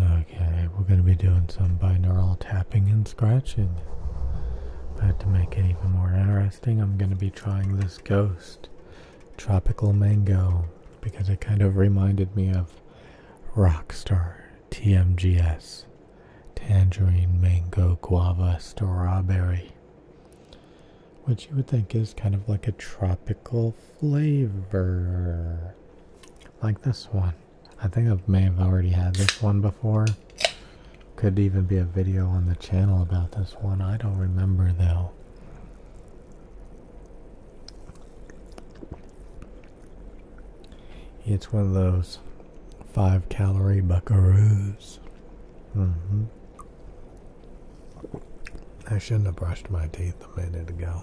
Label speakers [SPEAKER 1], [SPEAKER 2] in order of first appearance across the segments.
[SPEAKER 1] Okay, we're going to be doing some binaural tapping and scratching. But to make it even more interesting, I'm going to be trying this ghost, Tropical Mango, because it kind of reminded me of Rockstar TMGS, Tangerine Mango Guava Strawberry, which you would think is kind of like a tropical flavor. Like this one. I think I may have already had this one before. Could even be a video on the channel about this one. I don't remember though. It's one of those five calorie buckaroos. Mm-hmm. I shouldn't have brushed my teeth a minute ago.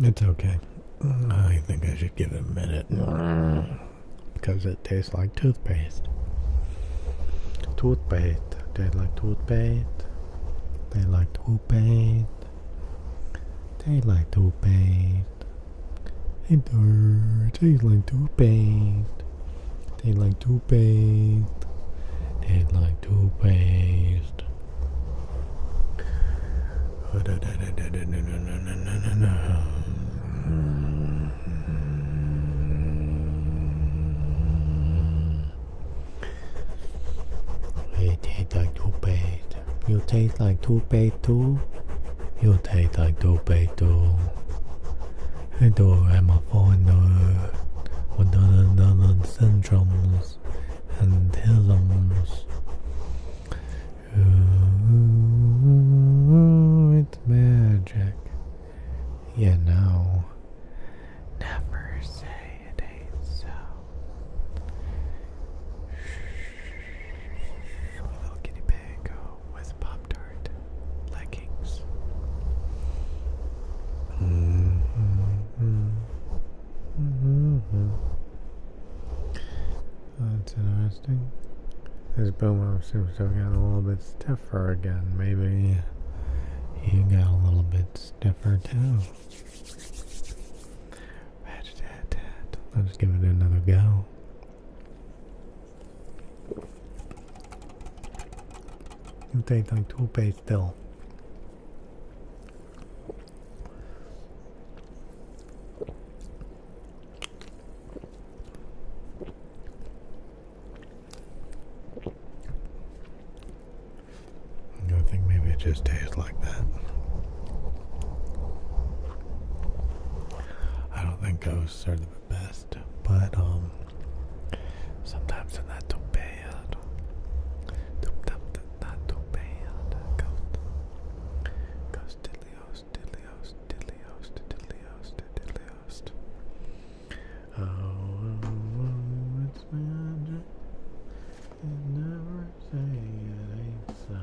[SPEAKER 1] It's okay. I think I should give it a minute because it tastes like toothpaste. Toothpaste. They like toothpaste. They like toothpaste. They like toothpaste. Hey Tastes like toothpaste. They like toothpaste. They like toothpaste. You taste like two toothpaste. You taste like two toothpaste two. You taste like two toothpaste two. I do have my phone. What the syndromes? and pillows. Ooh, it's magic. You know,
[SPEAKER 2] never say it ain't so. I'm a little guinea pig
[SPEAKER 1] with Pop Tart leggings. Mm -hmm. -hmm. That's interesting. This boom seems to have gotten a little bit stiffer again. Maybe he got a little bit stiffer too. Let's give it another go. It tastes like toothpaste still. I think maybe it just tastes like that. I don't think ghosts are the best, but um, sometimes they're not too bad not too bad. Ghost. Ghost diddlyos, diddlyos, diddlyos, diddlyos, diddlyos. Oh, oh, it's magic. It never say it ain't so.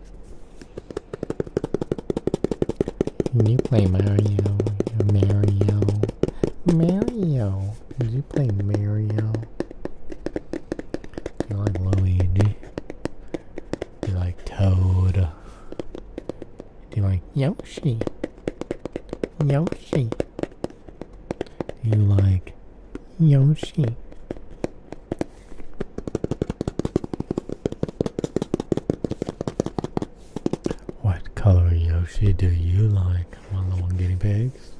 [SPEAKER 1] Did you play Mario? Mario? Mario? Did you play Mario? Do you like Luigi? Do you like Toad? Do you like Yoshi? Yoshi? Do you like Yoshi. What color Yoshi do you like, my little guinea pigs?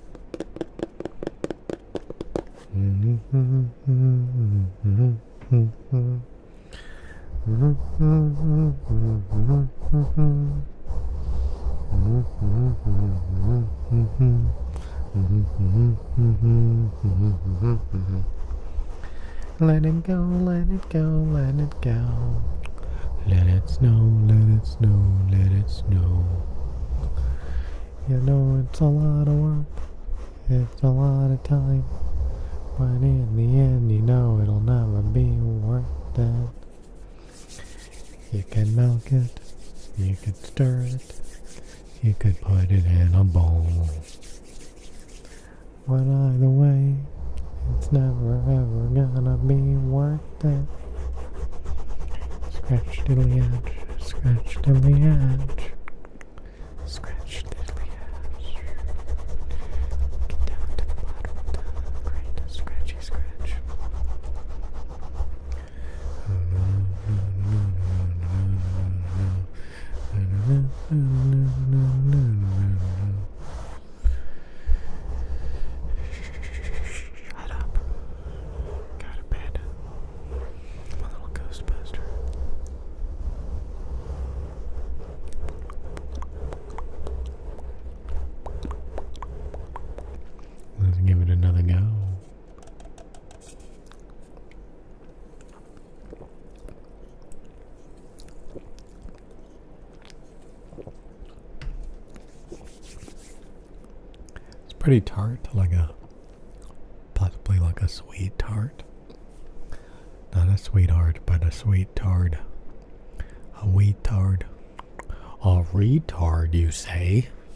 [SPEAKER 1] Mm-hmm. let it go, let it go, let it go. Let it snow, let it snow, let it snow. You know it's a lot of work, it's a lot of time. But in the end, you know it'll never be worth it. You can milk it, you can stir it, you could put it in a bowl. But either way, it's never ever gonna be worth it. Scratch diddly edge, scratch diddly edge, scratch diddly edge. Get down to the bottom scratchy scratch. Shut up.
[SPEAKER 2] Got a bed. My little Ghostbuster.
[SPEAKER 1] Let's give it another go. It's pretty tart, like a possibly like a sweet tart. Not a sweetheart, but a sweet tard. A wheat tard. A retard, you say?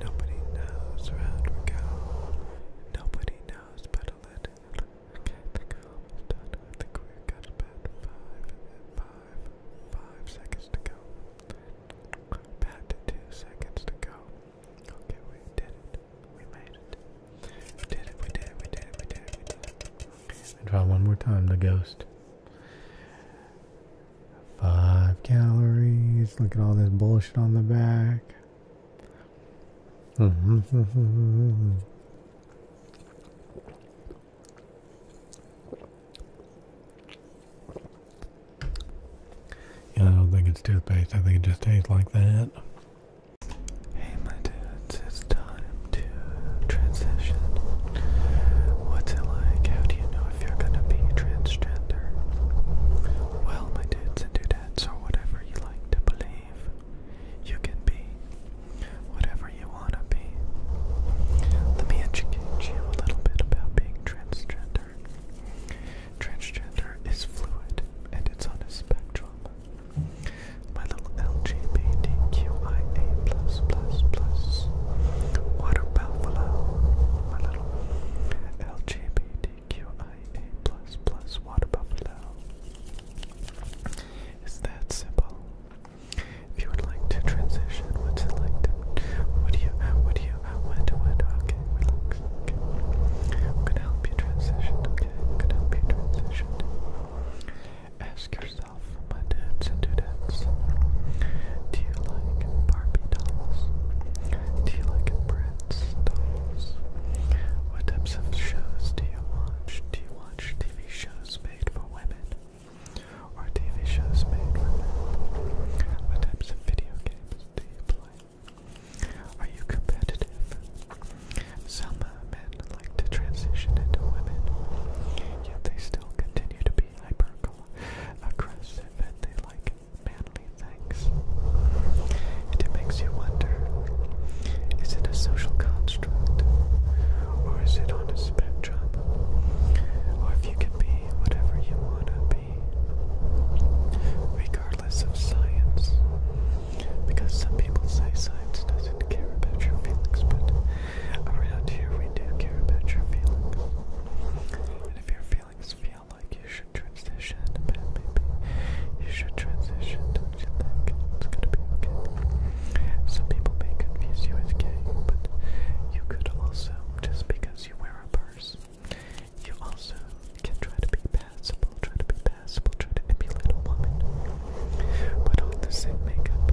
[SPEAKER 1] Nobody knows around we go. Nobody knows but a little. Okay, the calm is done. I think we've got about five, five, five seconds to go. About two seconds to go. Okay, we did it. We made it. We did it, we did it, we did it, we did it, we did Try one more time, the ghost. Five calories. Look at all this bullshit on the back. I don't think it's toothpaste. I think it just tastes like that. Hey, my dudes, it's time to transition. What's it like? How do you know if you're gonna be transgender, well, my dudes and dudettes, or whatever you like to believe, you can be whatever you wanna be. Let me educate you a little bit about being transgender. Transgender is fluid and it's on a spectrum. My little LGBTQIA
[SPEAKER 2] plus plus plus water buffalo. My little L GBTQIA water buffalo. It's that simple. If you would like to transition, what's it like to what you what you what do okay, Okay. I'm gonna help you transition, okay? I'm gonna help you transition. Ask yourself, my dudes and dudettes, do you like Barbie dolls? Do you like Brett What types of shows do you watch? Do you watch TV shows made for women? Or TV shows made for men? What types of video games do you play? Are you competitive? Some uh, men like to transition into women, yet they still continue to be hyper aggressive and they like badly, thanks. it makes you wonder is it a social construct? Or is it on a spectrum? Or if you can be whatever you want to be, regardless of science? Because some people say science doesn't care about your feelings, but around here we do care about your feelings. And if your feelings like you should transition a maybe. You should transition, don't you think? It's gonna be okay. Some people may confuse gay, but you could also, just because you wear a purse, you also can try to be passable, try to be passable, try to emulate a woman. Put on the same makeup,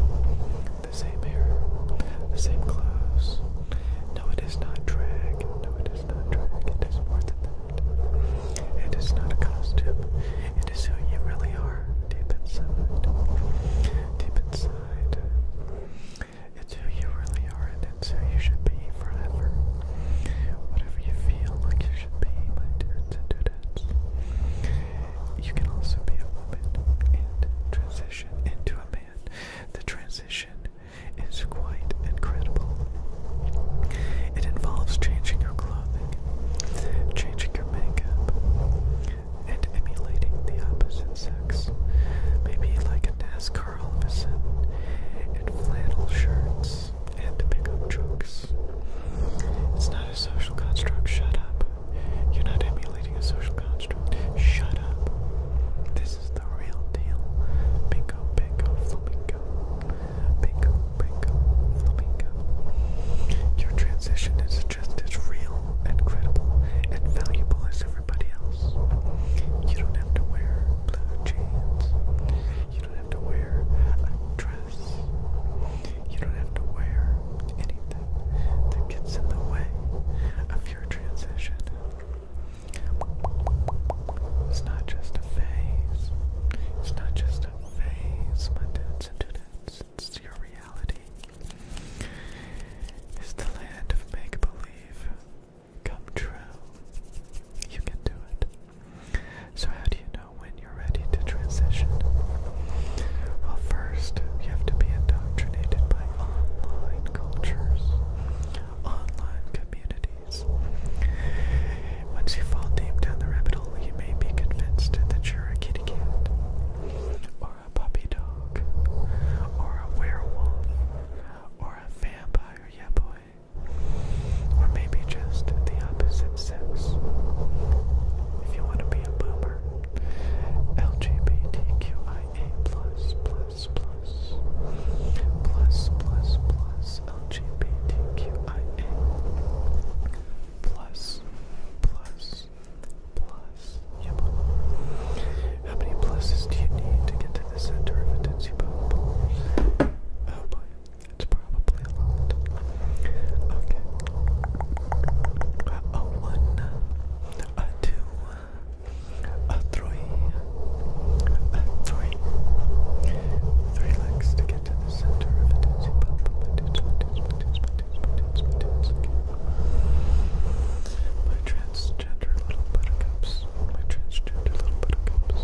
[SPEAKER 2] the same hair, the same clothes. No, it is not drag. No, it is not drag. It is more than that. It is not a costume. It is who you really are deep inside. Deep inside. It's who you really are, and it's who you should be forever. Whatever you feel like you should be, my dudes and dudettes. You can also be a woman and transition into a man. The transition routine is quite incredible. It involves changing your clothing, changing your makeup, and emulating the opposite sex. Maybe like a NASCAR all of a sudden, and flannel shirts, and pickup trucks. It's not a social construct, shut up. You're not emulating a social construct, shut up this is the real deal. Bingo, bingo, flamingo. Bingo, bingo, flamingo. Your transition is just as real and credible and valuable as everybody else. You don't have to wear blue jeans. You don't have to wear a dress. You don't have to wear anything that gets in the way of your transition. It's not just a phase. It's not just a phase, my dudes and dudettes. It's your reality. It's the land of make believe come true. You can do it. So, how do you know when you're ready to transition? Well, first, you have to be indoctrinated by online cultures, online communities. Once you fall deep down the rabbit hole, you may be convinced that you're a kitty cat, or a puppy dog, or a werewolf, or a vampire, yeah boy, or maybe just the opposite sex. If you want to be a boomer, LGBTQIA plus plus plus plus plus plus plus LGBTQIA plus plus plus yep. How many pluses do you need to get to the center of a Tootsie Pop? Oh boy, it's probably a lot. Okay. Uh, a oh, one, uh, a two, a legs to get to the center of a My transgender little buttercups. My transgender little buttercups.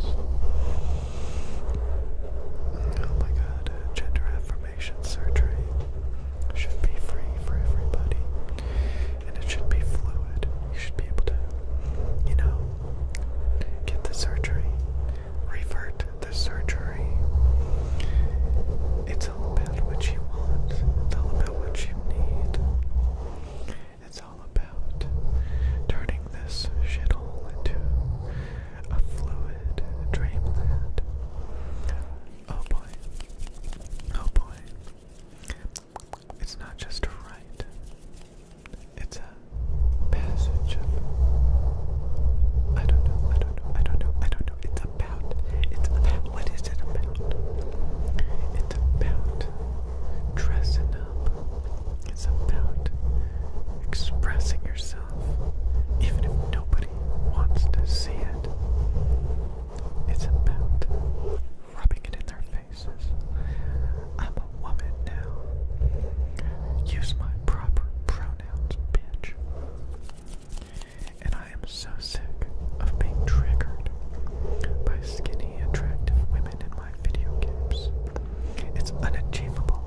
[SPEAKER 2] Oh my god, gender affirmation surgery should be free for everybody and it should be fluid. You should be able to, you know, get the surgery, revert the surgery. It's all about what you want, it's all about what you need. It's all about turning this shithole into a fluid dreamland. Oh boy. Oh boy. It's not just a right, it's a passage I don't know, I don't know, I don't know, I don't know. It's about, it's about, what is it about? It's about dressing up, it's about expressing yourself, even if nobody wants to see it. It's about rubbing it in their faces. I'm a woman now. Use my proper pronouns, bitch. And I am so sick of being triggered by skinny, attractive women in my video games. It's unachievable.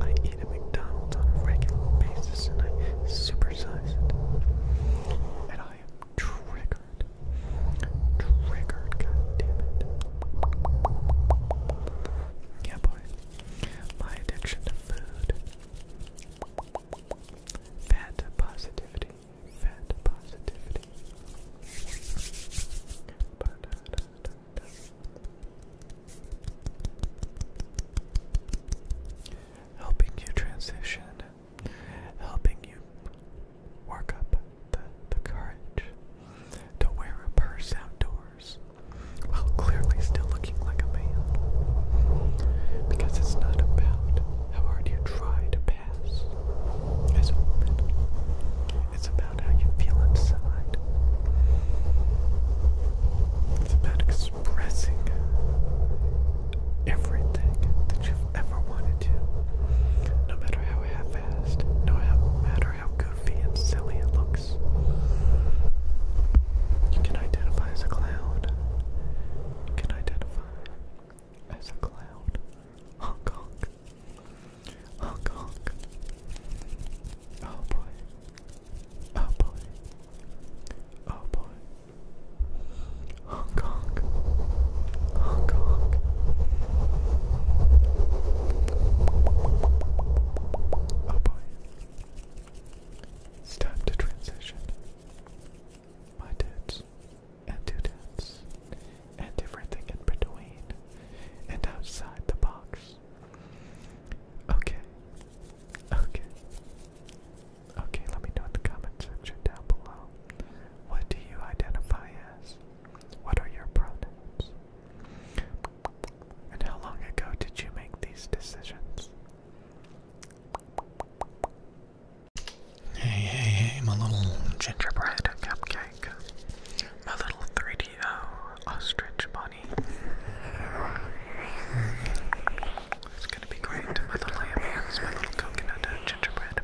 [SPEAKER 2] I eat at McDonald's on a regular basis and I supersize it. And I am triggered. Triggered, god damn it. Yeah, boy. My addiction to food. Fat positivity. positivity. Ba -da -da Helping you transition helping you work up the, the courage to wear a purse outdoors while clearly still looking like a man. Because it's not about how hard you try to pass it's about how you feel inside. It's about expressing everything that you ever wanted to. No matter how half no matter how goofy and silly it looks. You can identify as a cloud. You can identify as a clown. Hong Kong. Hong Kong. Oh boy. Oh boy. Oh boy. Hong Kong, Hong Kong. Oh boy. It's time to transition. My dudes, and dudettes, and everything in between, and outside the box. Okay, okay, okay, let me know in the comment section down below. What do you identify as? What are your pronouns? And how long ago did you make these decisions? Hey, hey, hey, my little gingerbread cupcake. My little 3DO ostrich bunny. It's gonna be great. My little ham hands, my little coconut gingerbread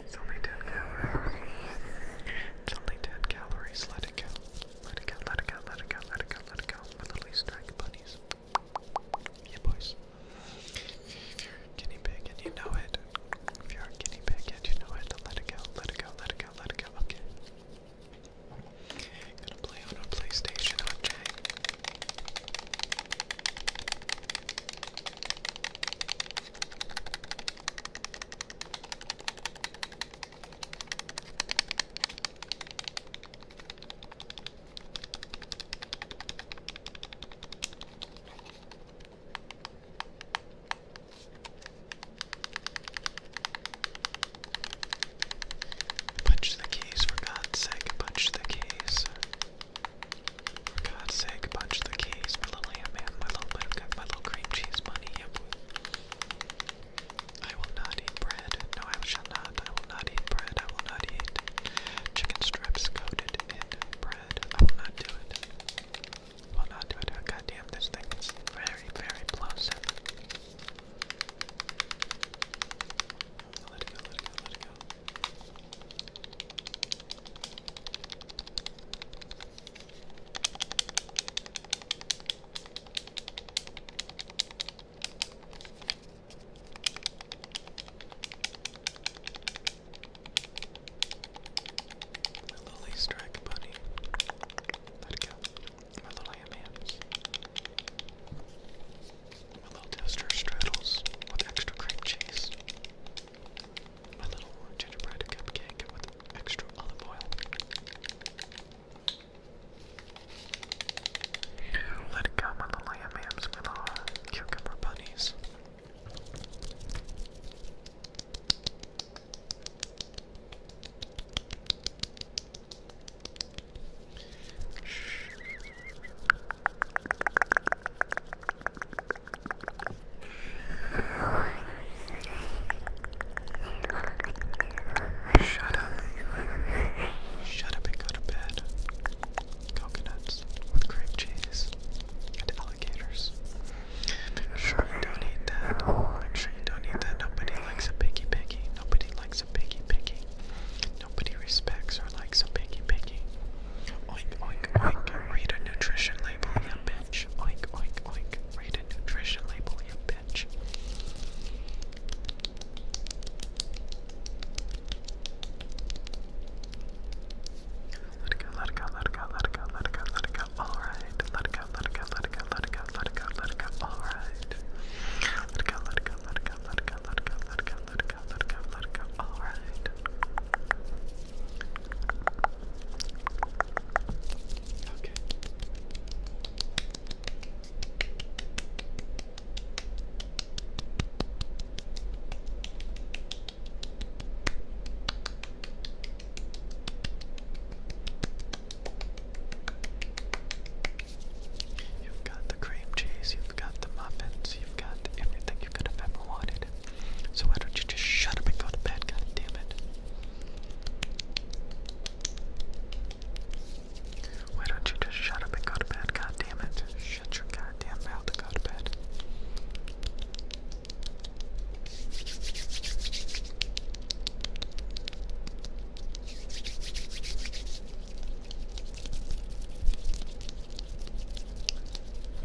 [SPEAKER 2] It's only 10 calories. It's only 10 calories. Let it go. Let it go, let it go, let it go, let it go, let it go. My little Easter egg bunnies. Yeah, boys. If you're a guinea pig and you know it, if you're a guinea pig and you know it, then let it go, let it go, let it go, let it go. Okay. I'm gonna play on a PlayStation, okay? Punch the keys, for God's sake, punch the keys. For God's sake, punch the keys, my little ham man, my little bit of my little cream cheese money, yep. I will not eat bread. No, I shall not. I will not eat bread. I will not eat chicken strips coated in bread. I will not do it. will not do it. Oh, God damn, this thing is very, very plosive. Let it go, let it go, let it go. My little Easter bunny. Let it go. My little ham-hams. My little toaster straddles with extra cream cheese. My little gingerbread cupcake with extra olive oil. Let it go, my little yam my little cucumber bunnies. Shut up. Shut up and go to bed. Coconuts with grape cheese and alligators. sure don't eat that. sure don't eat that. Nobody likes a piggy piggy. Nobody likes a piggy piggy. Nobody respects or likes a piggy piggy. Oink, oink, oink. Read a nutrition label, you bitch. Oink, oink, oink. Read a nutrition label, you bitch. Let it go, let it go, let it go, let it go, let it go, let it go. Alright. Let it go, let it go, let it go, let it go, let it go, let it go. Alright. Let it go, let it go, let it go, let it go, let it go, let it go, let it go, let it go, let it go. Alright. Okay. You've got the cream cheese, you've got the muffins, you've got everything you could have ever wanted. So why don't you just shut up and go to bed, god damn it? Why don't you just shut up and go to bed, god Shut your goddamn mouth and go to bed.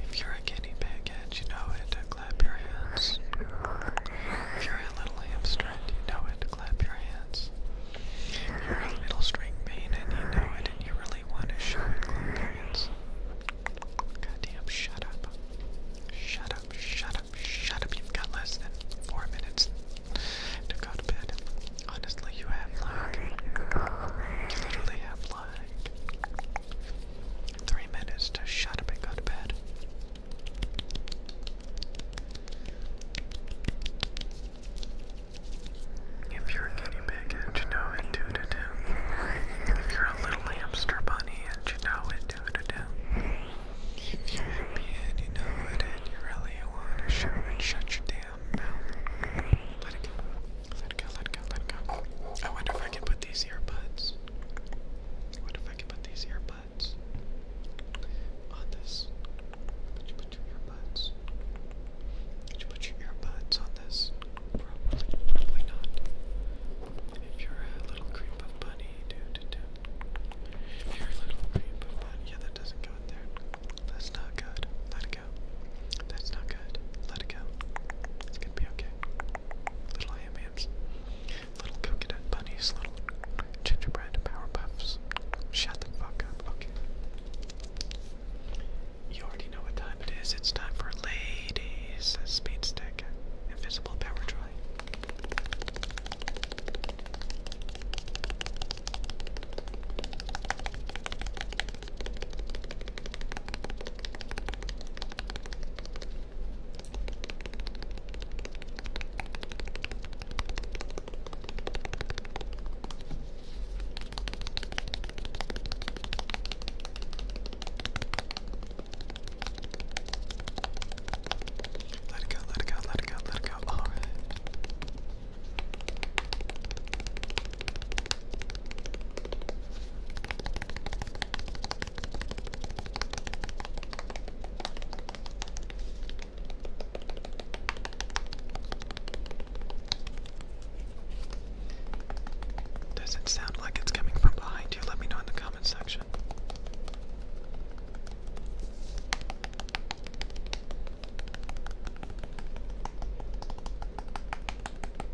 [SPEAKER 2] If you're a guinea pig and you know it, clap your hands. If you're a little hamster and you know it, clap your hands. You're a little string bean and you know it and you really want to show it, clap your hands. Goddamn, shut up. Shut up, shut up, shut up. You've got less than four minutes to go to bed. Honestly, you have You literally have Three minutes to shut up and go to bed. If you're a guinea pig and you know it, to do. If you're a little hamster bunny and you know it, to do. If you're happy and you know it you really want to show it, shut your damn mouth. Let it go. Let go, let go, let go. I wonder if I can put these earbuds. I if I can put these earbuds on this. Would you put your earbuds? Would you put your earbuds on this? Probably, not. If you're a little creep of bunny, do do do. If you're a little creep of bunny, yeah, that doesn't go in there. That's not good. Not that's not good. Let it go. It's gonna be okay. Little ham little coconut bunnies, little gingerbread power Shut the fuck up. Okay. You already know what time it is. It's time for ladies speed stick, invisible power dry. Let it go, let it go, let it go, let it go. All oh. right. Does it sound like it's coming from behind you? Let me know in the comment section.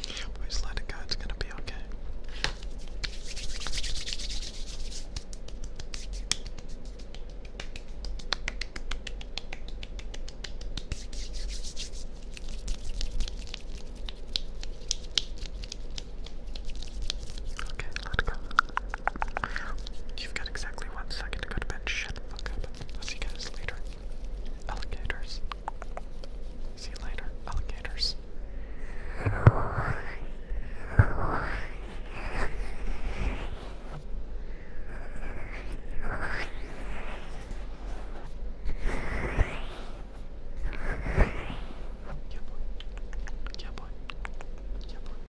[SPEAKER 2] Please let it go, it's gonna be okay. Okay, let go. You've got exactly one second to go to bed. Shut fuck up. see you guys later. Alligators. See you later, alligators. Yeah, boy. Yeah,